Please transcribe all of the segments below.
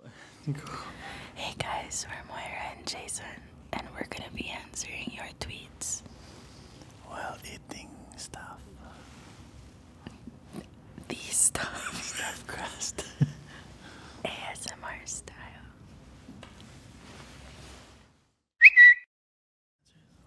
Hey guys, we're Moira and Jason, and we're gonna be answering your tweets while eating stuff. The stuff crust. ASMR style.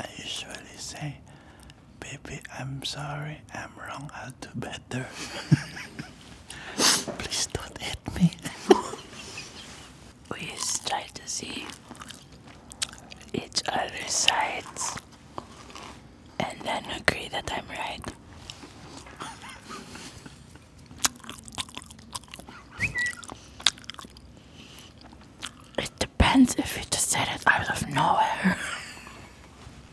I usually say, Baby, I'm sorry, I'm wrong, I'll do better. Please don't hit me. we try to see each other's sides and then agree that I'm right. It depends if you just said it out of nowhere.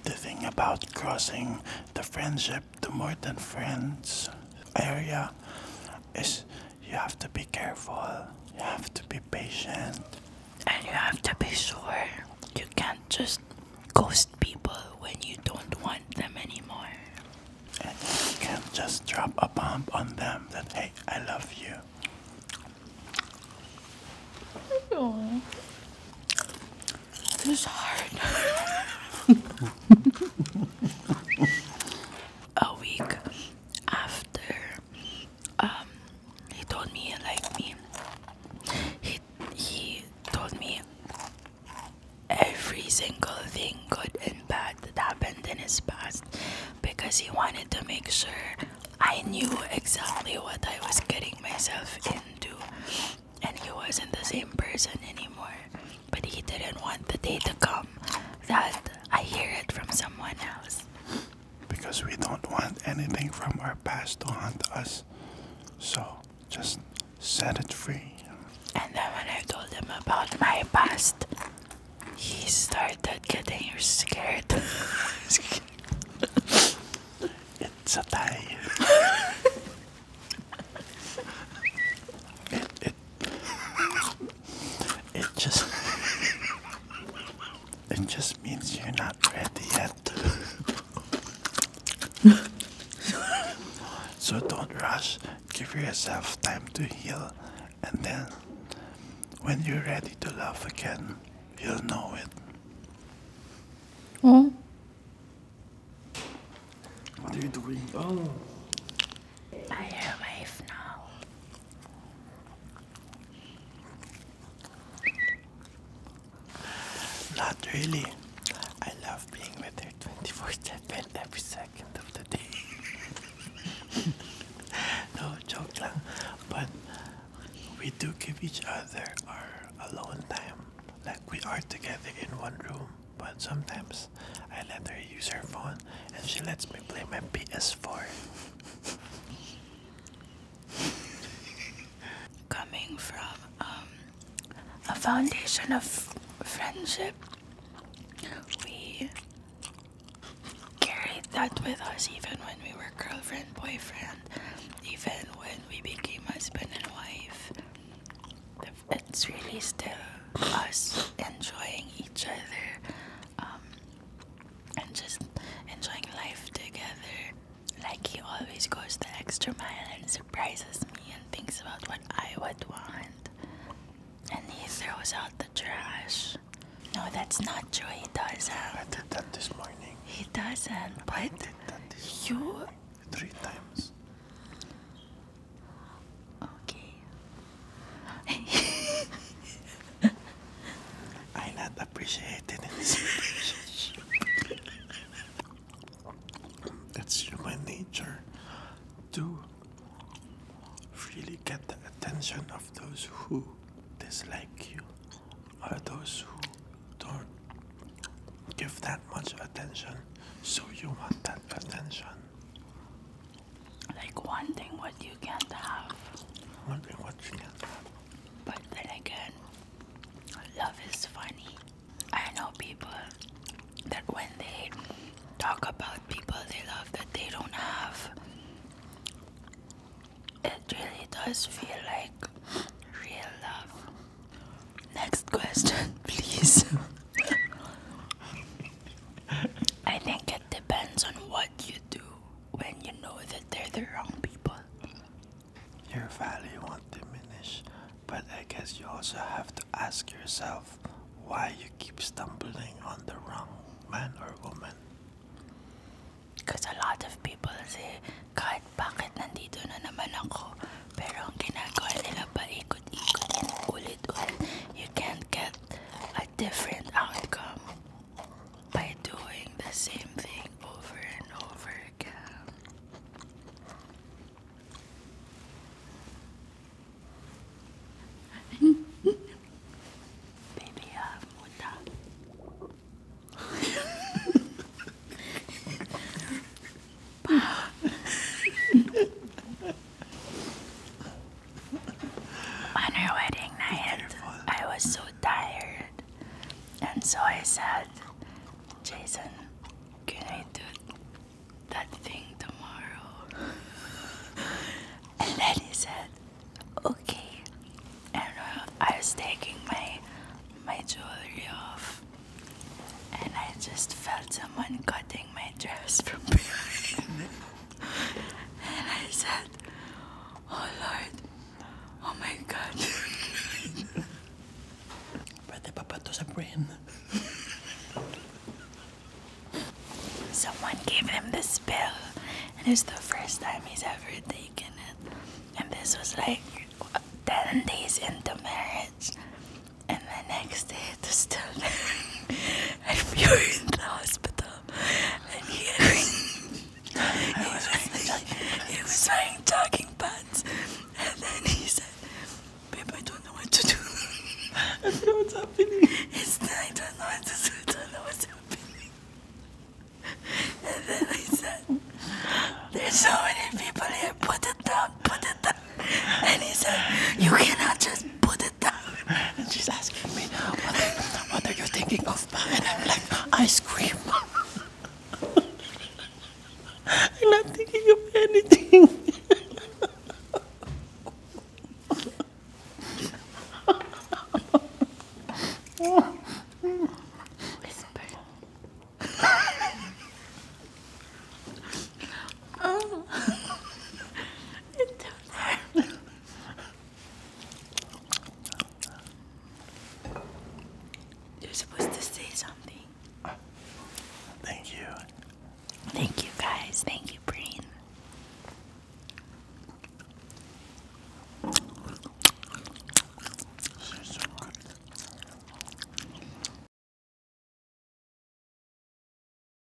the thing about crossing the friendship, to more than friends area, is you have to be careful, you have to be patient, and you have to be sure. You can't just ghost people when you don't want them anymore and you can just drop a bomb on them that hey, I love you. this is hard. a week after, um, he told me he me. He he told me every single thing, good and bad, that happened in his past because he wanted to make sure I knew exactly what I was getting myself into. And he wasn't the same person anymore. But he didn't want the day to come that I hear it from someone else. Because we don't want anything from our past to haunt us. So just set it free. And then when I told him about my past, he started getting scared. it's a tie. it, it, it just it just means you're not ready yet. so don't rush. Give yourself time to heal, and then when you're ready to love again, you'll know it. Oh. What are you doing? Oh. I have a now. Not really. I love being with her 24 7 every second of the day. no joke, lang. but we do give each other our alone time. Like we are together in one room, but sometimes I let her use her phone and she lets me play my PS4. Coming from um, a foundation of friendship. We carried that with us even when we were girlfriend, boyfriend, even when we became husband and wife. It's really still us enjoying each other um, and just enjoying life together. Like he always goes the extra mile and surprises me and thinks about what I would want. And he throws out the trash. No, that's not true. He doesn't. I did that this morning. He doesn't. But I did you three times. Okay. I not appreciated in It's human nature to really get the attention of those who dislike you or those who don't give that much attention. So you want that attention. Like wanting what you can't have. Wondering what you can have. But then again, Love is funny. I know people that when they talk about people they love that they don't have, it really does feel like real love. Next question, please. I think it depends on what you do when you know that they're the wrong people your value won't diminish. But I guess you also have to ask yourself why you keep stumbling on the wrong man or woman. Because a lot of people say, kahit bakit nandito na naman ako, pero ang ginagawa nila paikot-ikot ulit-ulit, you can't get a different outcome by doing the same thing over and over again. Baby, ah, muta. On our wedding night, I was so tired. And so I said, Jason, can I do that thing tomorrow? and then he said, okay. And uh, I was taking my my jewelry off, and I just felt someone cutting my dress from behind. and I said, Oh, oh my God. Pwede pa ba to sa brain? Someone gave him the spell, and it's the first time he's ever taken it. And this was like 10 days into marriage. And the next day it still there. and in the hospital and hearing. was wearing He was saying talking pants, and then he said, "Babe, I don't know what to do. I don't know what's happening. It's I don't know what to do. I don't know what's happening." And then he said, "There's so many people here. Put it down. Put it down." And he said, "You cannot just put it down." and she's asking me what, are you thinking of and I'm like ice cream I'm not thinking of anything Whisper. You're supposed to say something. Thank you. Thank you, guys. Thank you, Breen.